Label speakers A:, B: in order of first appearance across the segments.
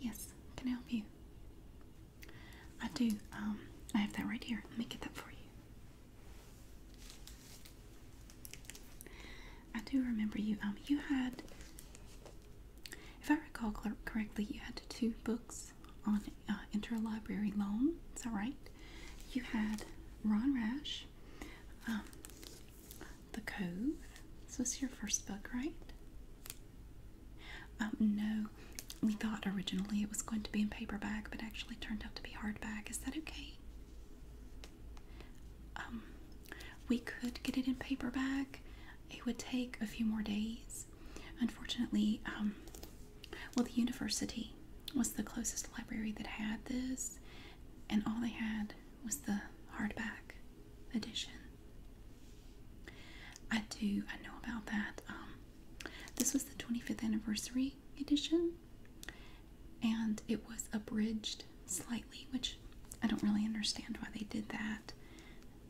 A: Yes, can I help you? I do. Um, I have that right here. Let me get that for you. I do remember you. Um, you had if I recall correctly, you had two books on uh, interlibrary loan. Is that right? You had Ron Rash, um, The Cove. So this is your first book, right? Um, no, we thought originally it was going to be in paperback, but actually turned out to be hardback. Is that okay? Um, we could get it in paperback it would take a few more days. Unfortunately, um, well, the university was the closest library that had this, and all they had was the hardback edition. I do, I know about that. Um, this was the 25th anniversary edition, and it was abridged slightly, which I don't really understand why they did that.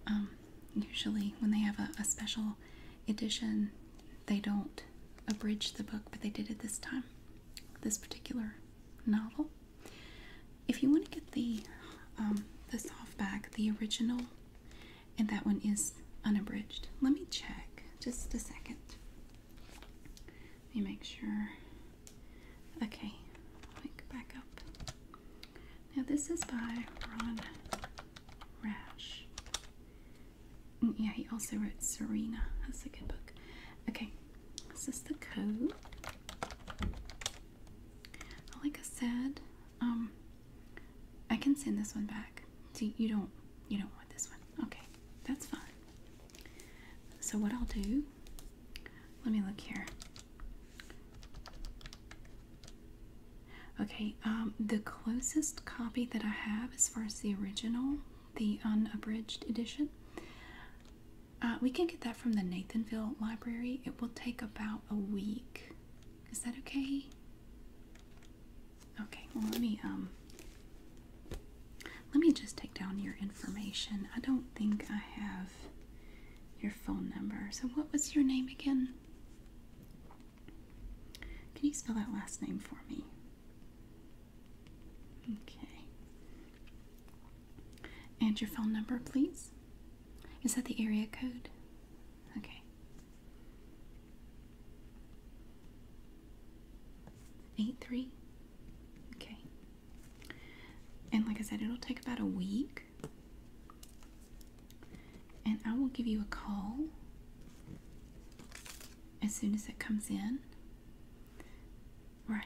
A: Um, usually, when they have a, special edition, they don't abridge the book, but they did it this time, this particular novel. If you want to get the um, the softback, the original, and that one is unabridged. Let me check just a second. Let me make sure. Okay, back up. Now, this is by Ron Rash. Mm, yeah, he also wrote Serena. That's a good book. Okay, this is the code. Like I said, um, I can send this one back. See, you don't, you don't want this one. Okay, that's fine. So what I'll do? Let me look here. Okay, um, the closest copy that I have, as far as the original, the unabridged edition, uh, we can get that from the Nathanville Library. It will take about a week. Is that okay? Okay, well let me um let me just take down your information. I don't think I have your phone number. So, what was your name again? Can you spell that last name for me? Okay. And your phone number, please? Is that the area code? Okay. Eight three. Okay. And like I said, it'll take about a week and I will give you a call as soon as it comes in. Right.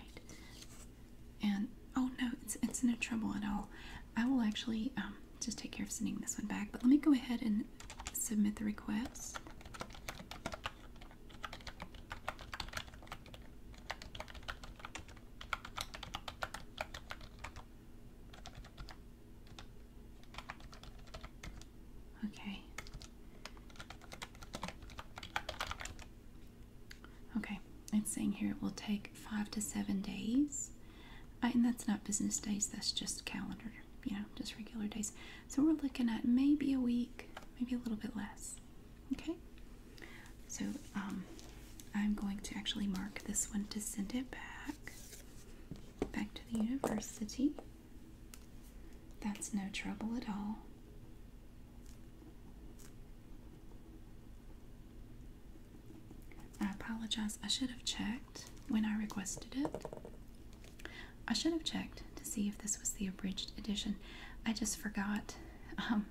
A: And oh no, it's, it's no trouble at all. I will actually um, just take care of sending this one back. But let me go ahead and submit the request. Okay. Okay, it's saying here it will take five to seven days. Uh, and that's not business days, that's just calendar, you know, just regular days. So we're looking at maybe a week, maybe a little bit less. Okay, so um, I'm going to actually mark this one to send it back, back to the university. That's no trouble at all. I apologize. I should have checked when I requested it. I should have checked to see if this was the abridged edition. I just forgot. Um,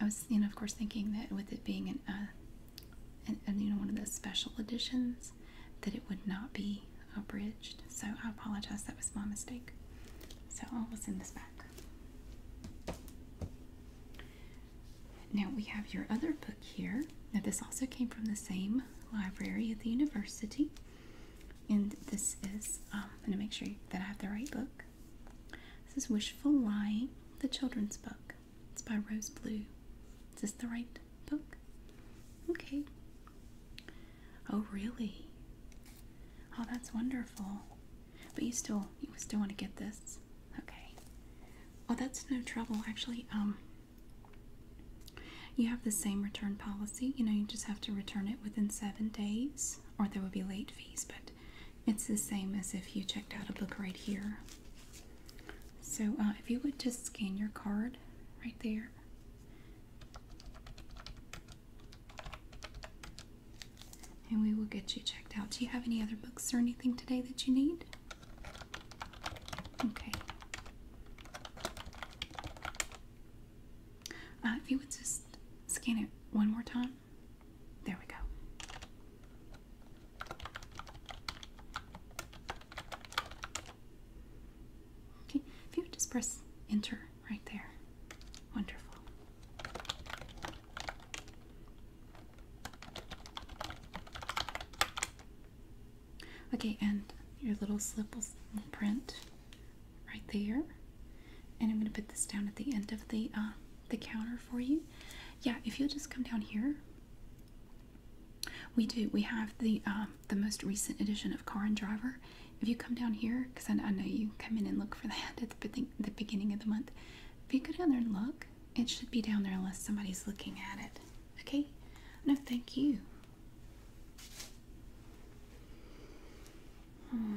A: I was, you know, of course, thinking that with it being uh, an, you know, one of those special editions, that it would not be abridged. So I apologize. That was my mistake. So I'll send this back. Now we have your other book here. Now this also came from the same library at the university. And this is, I'm going to make sure that I have the right book. This is Wishful Lying, the children's book. It's by Rose Blue. Is this the right book? Okay. Oh, really? Oh, that's wonderful. But you still, you still want to get this? Okay. Oh, that's no trouble. Actually, um, you have the same return policy. You know, you just have to return it within seven days, or there will be late fees. But it's the same as if you checked out a book right here. So uh, if you would just scan your card right there. And we will get you checked out. Do you have any other books or anything today that you need? Okay. Uh, if you would just scan it one more time. There we go. Okay, if you just press enter right there. Wonderful. Okay, and your little slip will print right there. And I'm going to put this down at the end of the uh, the counter for you yeah if you'll just come down here we do we have the um, the most recent edition of car and driver if you come down here because I, know you come in and look for that at the, beginning of the month if you go down there and look it should be down there unless somebody's looking at it okay no thank you hmm.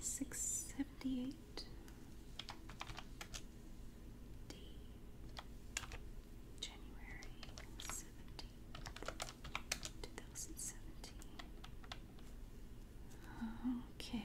A: Six seventy eight D January seventeenth, two Okay.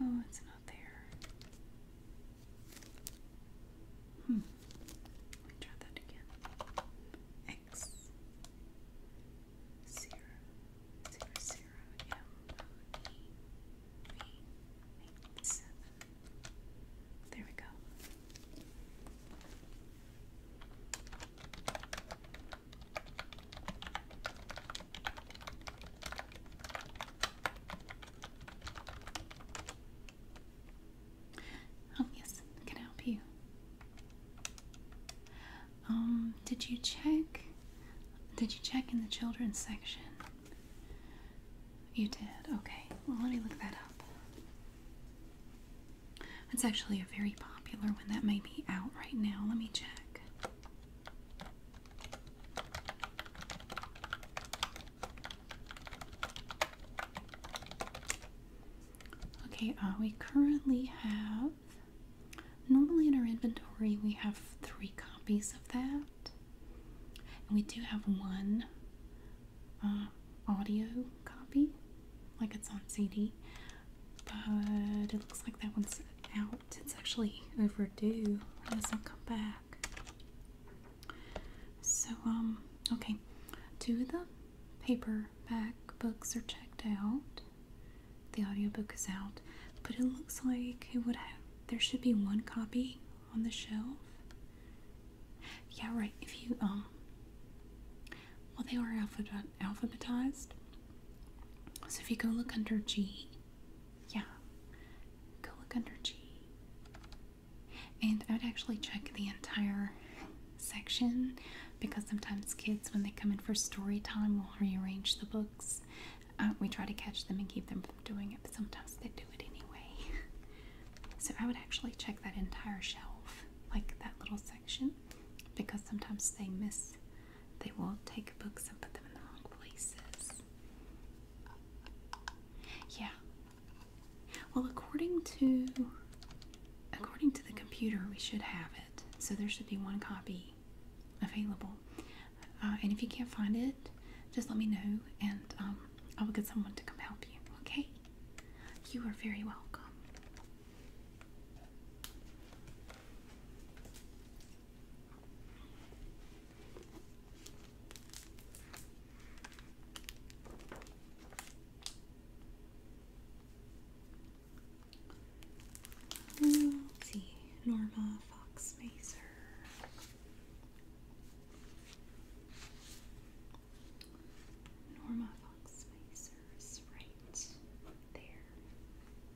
A: Oh, it's not there. Hmm. Let me try that again. X zero zero zero M O E V eight seven. There we go. Oh yes, can I help you? Um, did you check? Did you check in the children's section? You did. Okay. Well, let me look that up. It's actually a very popular one that may be out right now. Let me check. Okay, uh, we currently have. Normally in our inventory, we have three copies of that. And we do have one uh, audio copy, like it's on CD but it looks like that one's out. It's actually overdue. It doesn't come back. So, um, okay. Two of the paperback books are checked out. The audio book is out. But it looks like it would have, there should be one copy on the shelf. Yeah, right. If you, um, well, they are alphabetized. So if you go look under G, yeah. Go look under G. And I would actually check the entire section because sometimes kids, when they come in for story time, will rearrange the books. Uh, we try to catch them and keep them from doing it, but sometimes they do it anyway. so I would actually check that entire shelf, like that little section, because sometimes they miss they will take books and put them in the wrong places. Yeah. Well, according to according to the computer, we should have it. So there should be one copy available. Uh, and if you can't find it, just let me know, and I um, will get someone to come help you. Okay? You are very welcome. Let's see, Norma Fox Mazer. Norma Fox Maser right there.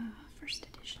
A: Uh, first edition.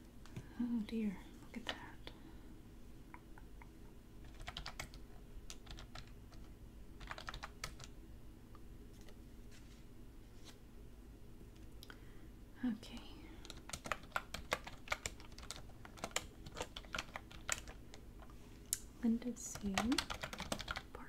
A: Oh dear, look at that. Okay. Lindesea Park.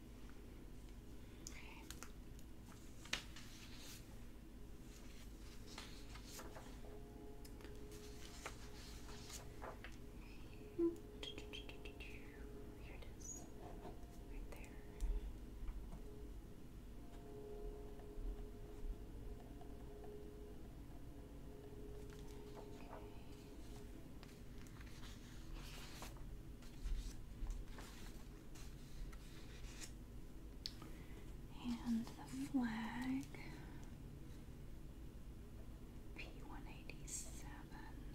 A: Okay. Here it is, right there. Okay. And the flag P one eighty seven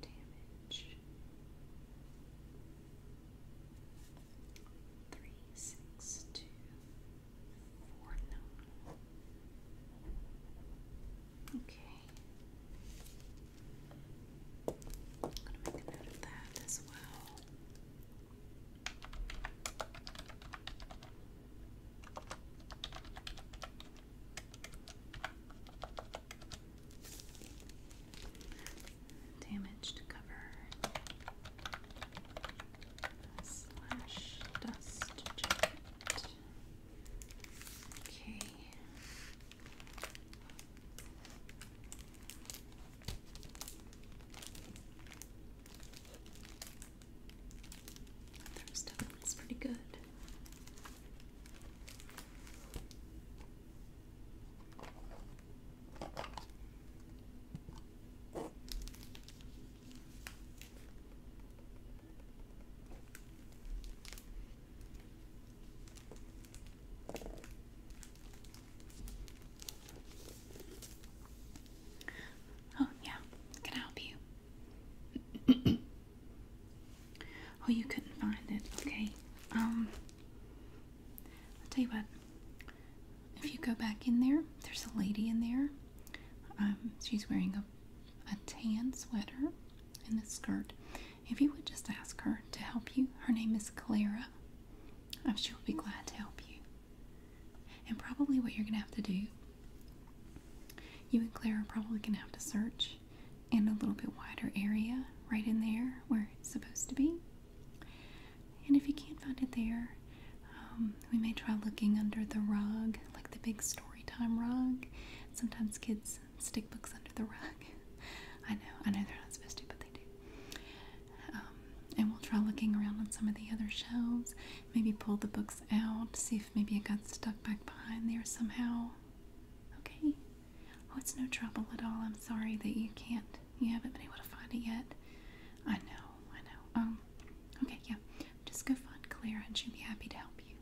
A: damage three six two four nine. Okay. I'm going to make a note of that as well. Damaged cover slash dust jacket. Okay. That stuff looks pretty good. Oh, yeah. Can I help you? oh, you couldn't find it. Okay. Um, I'll tell you what. If you go back in there, there's a lady in there. Um, she's wearing a a tan sweater and a skirt. If you would just ask her to help you, her name is Clara. I'm sure she'll be glad to help you. And probably what you're going to have to do, you and Clara are probably going to have to search in a little bit wider area right in there where it's supposed to be. And if you can't find it there, um, we may try looking under the rug, like the big story time rug. Sometimes kids stick books under the rug. I know, I know they're not supposed to, but they do. Um, and we'll try looking around on some of the other shelves, maybe pull the books out, see if maybe it got stuck back behind there somehow. Okay. Oh, it's no trouble at all. I'm sorry that you can't, you haven't been able to find it yet. I know, I know. Um, okay, yeah. Just go find Clara, and she'll be happy to help you.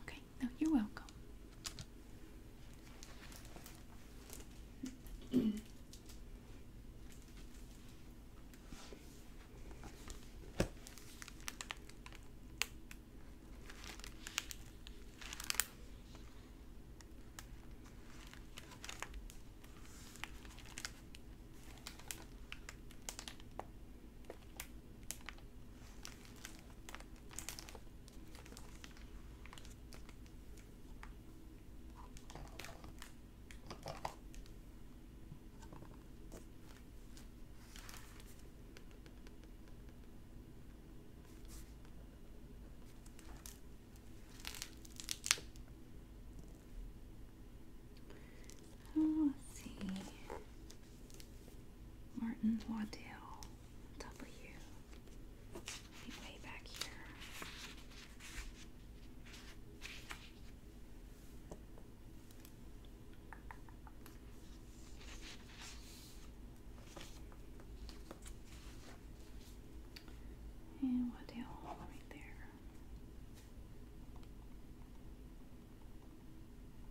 A: Okay no, you're welcome. Oh, let's see. Martin Waddell W. Way back here. And Waddell right there.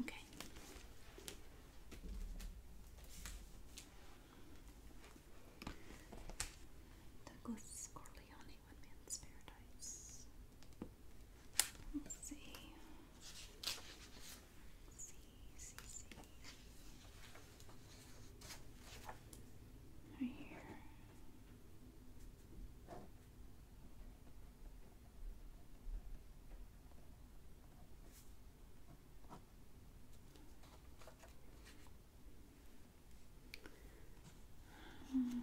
A: Okay. Douglas Corleone, One Man's Paradise. Let's see see, see, Right here. Um,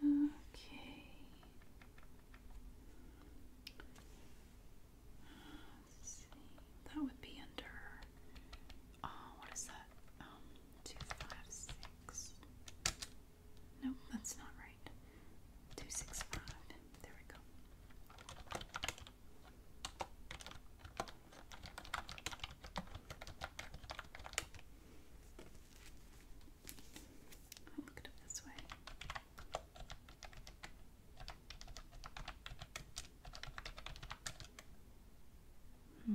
A: Okay. Let's see. That would be under oh, what is that? Um, two, five, six. No, that's not right. 265. There we go. look it this way. Hmm.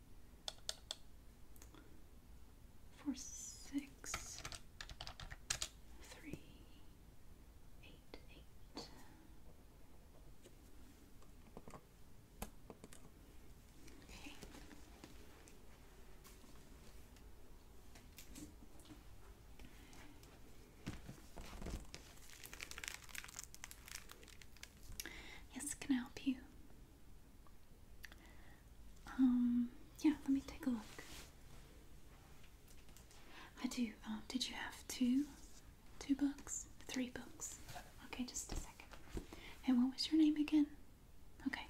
A: four, six, three, eight, eight. Okay. Yes, can I help you? Um, yeah, let me take a look. I do. Um, did you have two? Two books? Three books. Okay, just a second. And what was your name again? Okay.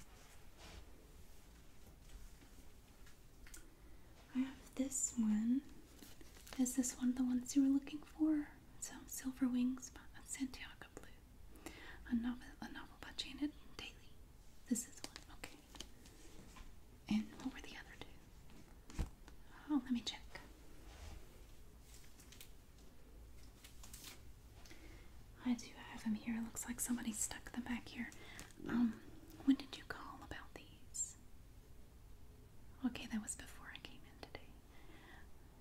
A: I have this one. Is this one the ones you were looking for? So, Silver Wings by Santiago Blue. A novel, a novel by Janet Daly. This is one, okay. And what were the other two? Oh, let me check. I do have them here. looks like somebody stuck them back here. Um, when did you call about these? Okay, that was before I came in today.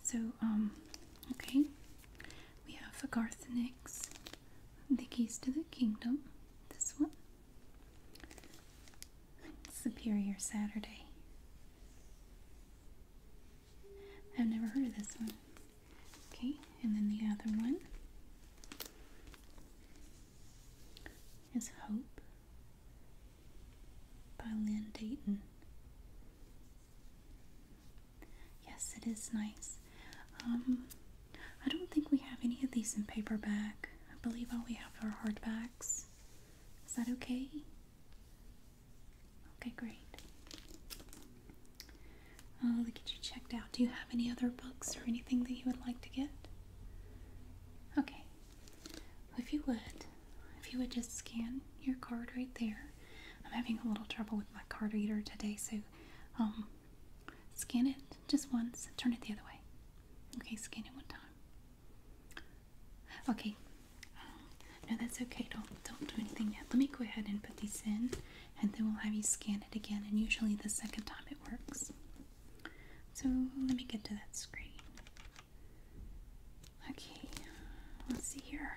A: So, um, okay, we have a Garthenix, the keys to the kingdom, this one. Superior Saturday. I've never heard of this one. Okay, and then the other one is Hope by Lynn Dayton. Yes, it is nice. Um, I don't think we have any of these in paperback. I believe all we have are hardbacks. Is that okay? Okay, great. I'll oh, get you checked out. Do you have any other books or anything that you would like to get? Okay if you would, if you would just scan your card right there. I'm having a little trouble with my card reader today, so um, scan it just once, turn it the other way. Okay, scan it one time. Okay, um, no, that's okay. Don't don't do anything yet. Let me go ahead and put these in, and then we'll have you scan it again. And usually the second time it works. So let me get to that screen. Okay, let's see here.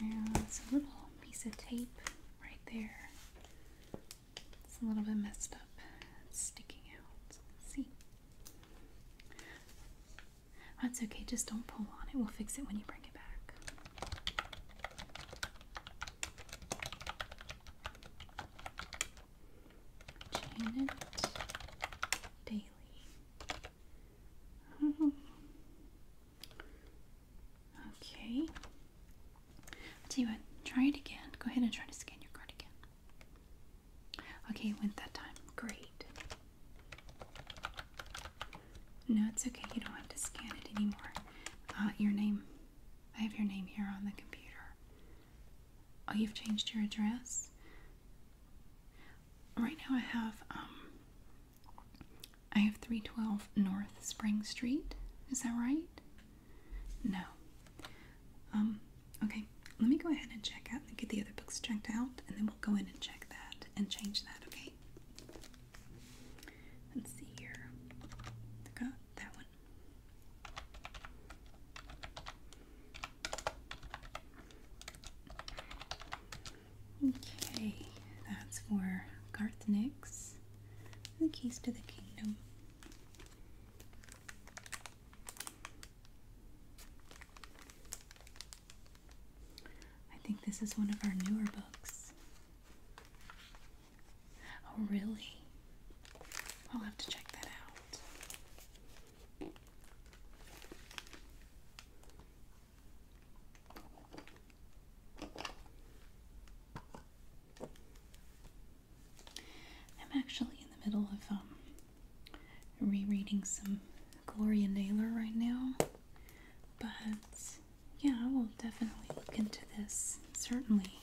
A: And it's a little piece of tape right there. It's a little bit messed up. sticking out. Let's see. That's okay, just don't pull on it. We'll fix it when you bring it back. Janet Daily. Okay. I'll tell you what, try it again. Go ahead and try to scan your card again. Okay, it went that time. Great. No, it's okay. You don't have to scan it anymore. Uh, your name I have your name here on the computer. Oh, you've changed your address? Right now I have, um, I have 312 North Spring Street. Is that right? No. Um, okay. Let me go ahead and check out and get the other books checked out, and then we'll go in and check that and change that, okay? Let's see here. Got that one. Okay, that's for Garth Nix, The Keys to the Kingdom. I think this is one of our newer books. Oh, really? I'll have to check that out. I'm actually in the middle of um rereading some Gloria Naylor right now. But yeah, I will definitely look into this. Certainly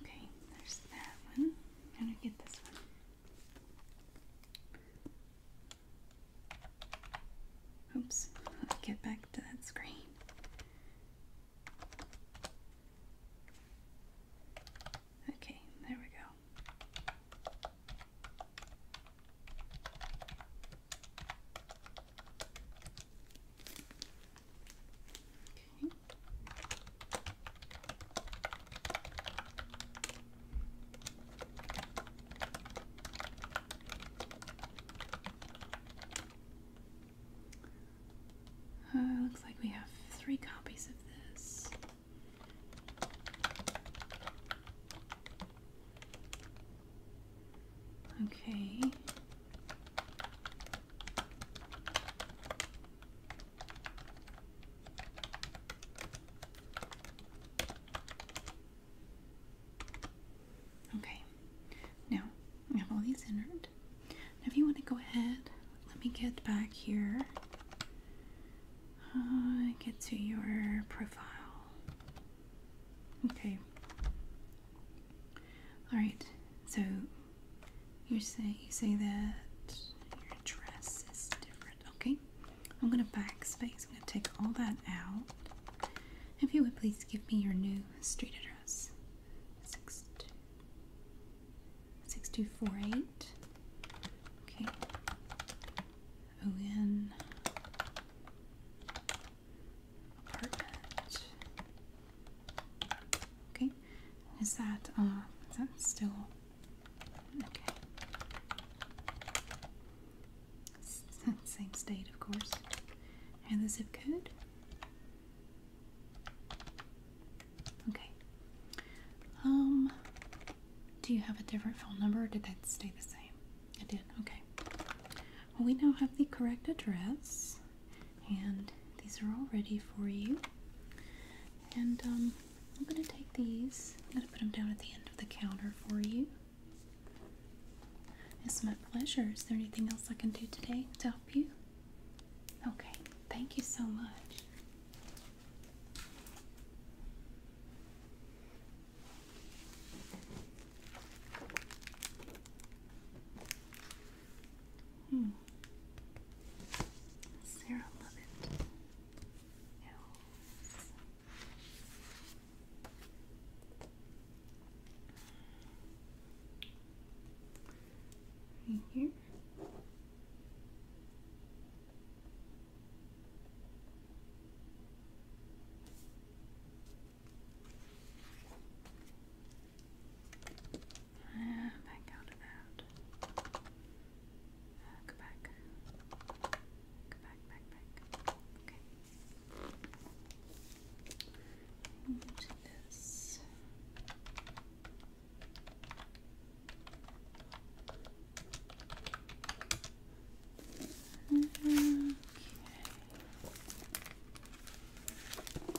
A: Okay, there's that one. I'm gonna get this one. Oops, let's get back to that screen. Okay, there we go. Okay. Uh, looks like we have three copies of this. Okay. Okay, now we have all these entered. Now, if you want to go ahead, let me get back here. Uh, get to your profile. Okay, all right. So you say you say that your address is different. Okay. I'm gonna backspace. I'm gonna take all that out. If you would please give me your new street address. Six two six two four eight. Okay. O N apartment Okay, is that uh, is that still okay? Same state, of course. And the zip code. Okay. Um, do you have a different phone number, or did that stay the same? It did. Okay. Well, we now have the correct address and these are all ready for you. And um, I'm going to take these, I'm going to put them down at the end of the counter for you. It's my pleasure. Is there anything else I can do today to help you? Okay, thank you so much. Hmm. Sarah Lovett. Elves. Right here. Uh, back out of that. go back. Go back, back, back. Okay. And this. Okay.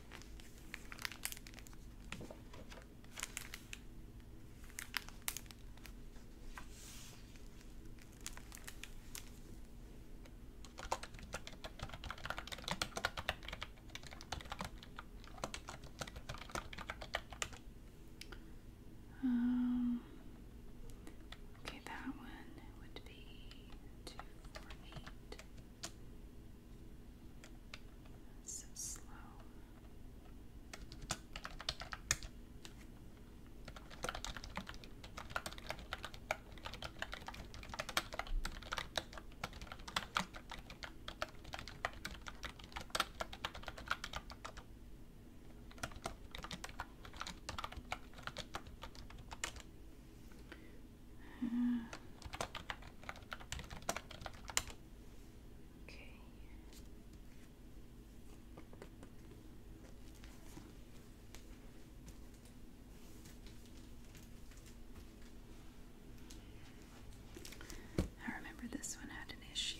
A: Um, okay, that one would be two, four, eight. So slow okay. I remember this one had an issue.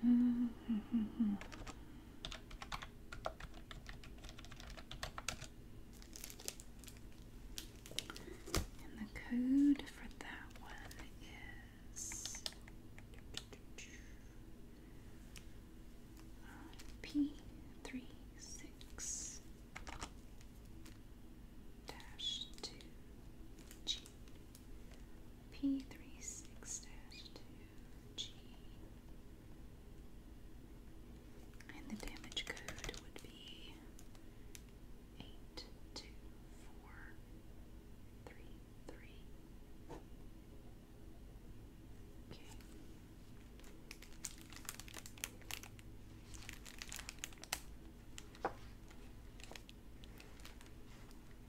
A: And the code for that one is uh, P three six dash two G. P36-2 G And the damage code would be 824333. Okay.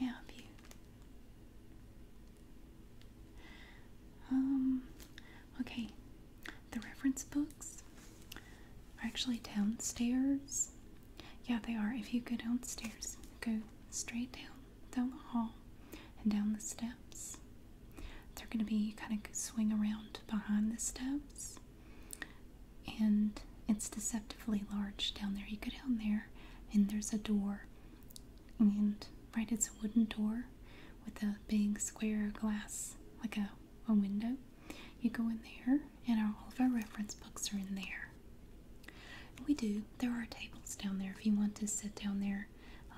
A: May I help you? Um, okay. The reference books are actually downstairs. Yeah, they are. If you go downstairs, go straight down down the hall and down the steps. They're going to be kind of swing around behind the steps, and it's deceptively large down there. You go down there, and there's a door, and right, it's a wooden door with a big square glass, like a, a window. You go in there, and all of our reference books are in there. We do. There are tables down there if you want to sit down there.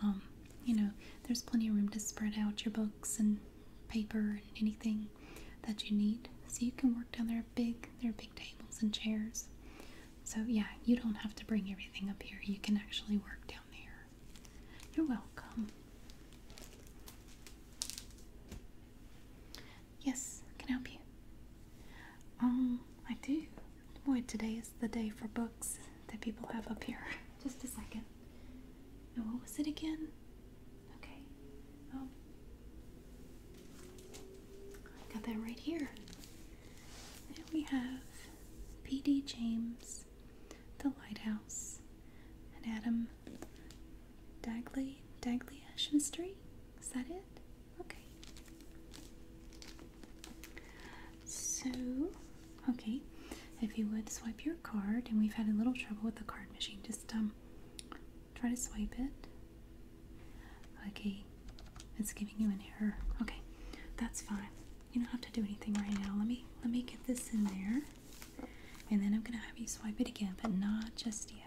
A: Um, you know, there's plenty of room to spread out your books and paper and anything that you need. So you can work down there big. There are big tables and chairs. So yeah, you don't have to bring everything up here. You can actually work down there. You're welcome. Yes, can help you? Um, I do. Boy, today is the day for books that people have up here. Just a second. And what was it again? Okay. Oh. I got that right here. There we have P.D. James, The Lighthouse, and Adam Dagley, Dagley Ash Mystery. Is that it? Okay. So, okay, if you would swipe your card, and we've had a little trouble with the card machine, just um, try to swipe it. Okay, it's giving you an error. Okay, that's fine. You don't have to do anything right now. Let me let me get this in there, and then I'm gonna have you swipe it again, but not just yet.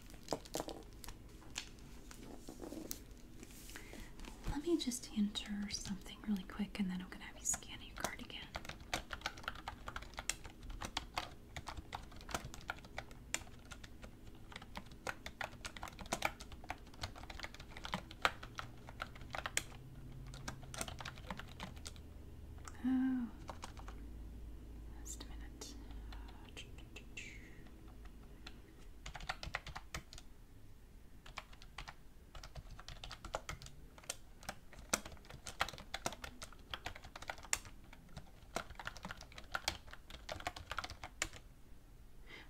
A: Let me just enter something really quick and then I'm going to have you scan your card again. Oh, just a minute.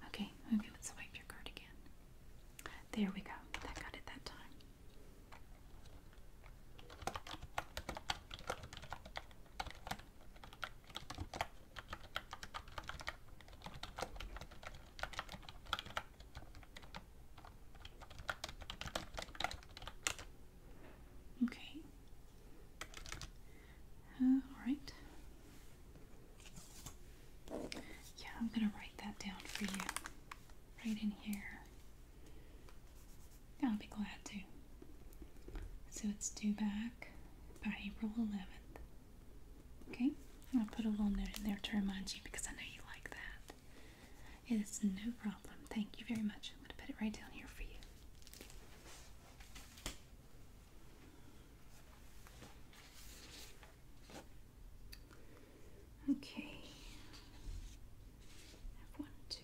A: Okay, okay, let's wipe your card again. There we go. That got it that time. Okay. Uh, all right. Yeah, I'm going to write that down for you right in here. I'll be glad to. So it's due back by April 11th. Okay, I'm gonna put a little note in there to remind you because I know you like that. It is no problem. Thank you very much. I'm gonna put it right down here for you. Okay. one, two,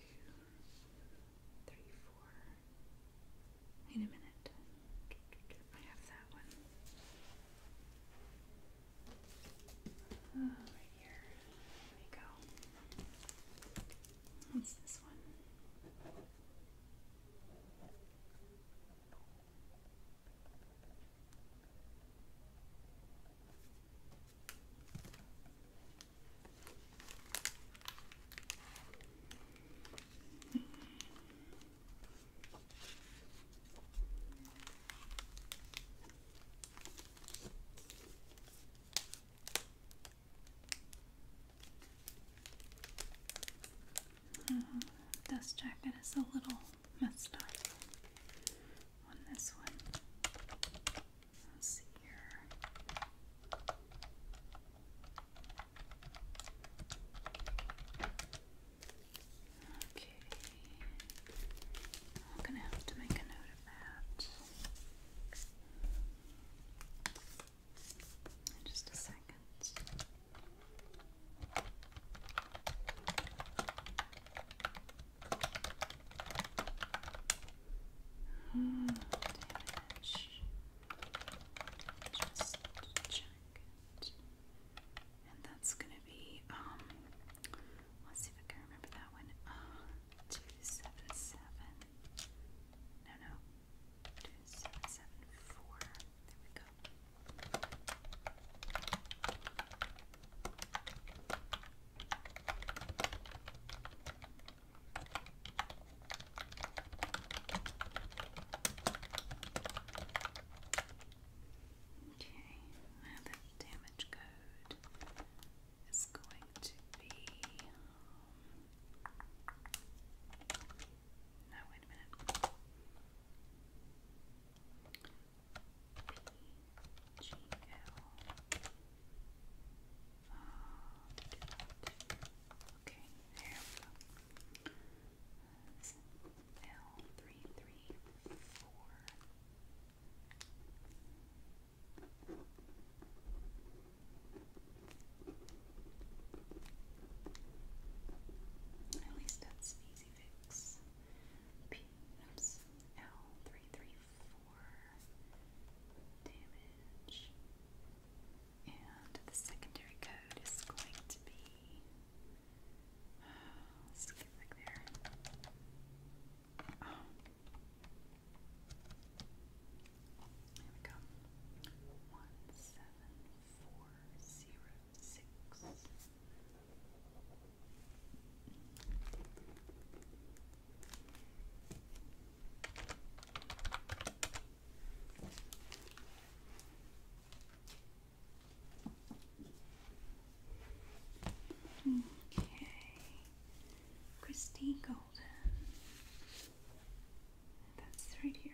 A: three, four, Wait a minute. I have that one. Oh, right here. There we go. What's this one? Oh, jacket is a little messed up on this one. here. Okay. I'm gonna have to make a note of that. just a second. Oh, damage. Just check it. And that's gonna be um let's see if I can remember that one. Uh two seven seven no no two seven seven four. There we go. Okay. Okay, now the damage code is going to be. Um, PGL. Uh, okay, there we go. L three three four. At least that's easy fix. P L three three four damage. And the secondary code is going to be. Uh, let's get back there. Oh. we go. One seven four zero six. Okay. Christy Golden. That's right here.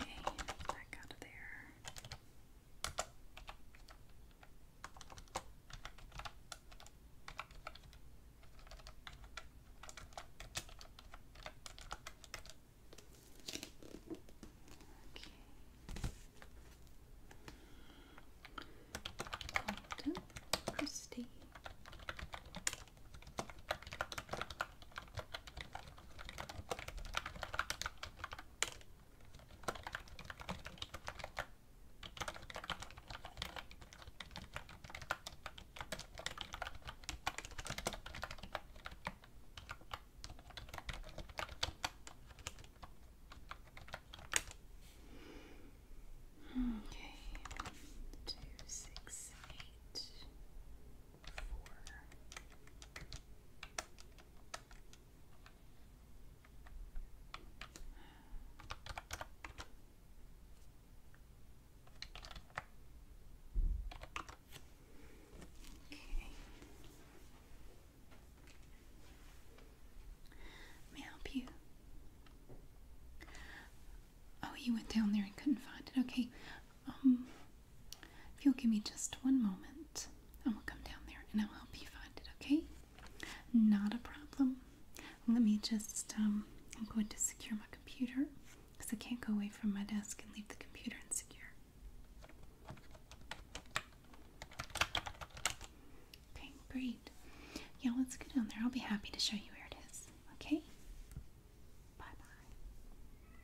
A: Okay, back out of there. Okay. Golden Christie. Okay, two, six, eight four. Okay. help you? Oh, you went down there and couldn't find it. Okay, um, if you'll give me just one moment, I will come down there and I'll help you find it, okay? Not a problem. Let me just, um, I'm going to secure my computer because I can't go away from my desk and leave the computer insecure. Okay, great. Yeah, let's go down there. I'll be happy to show you where it is, okay? Bye bye.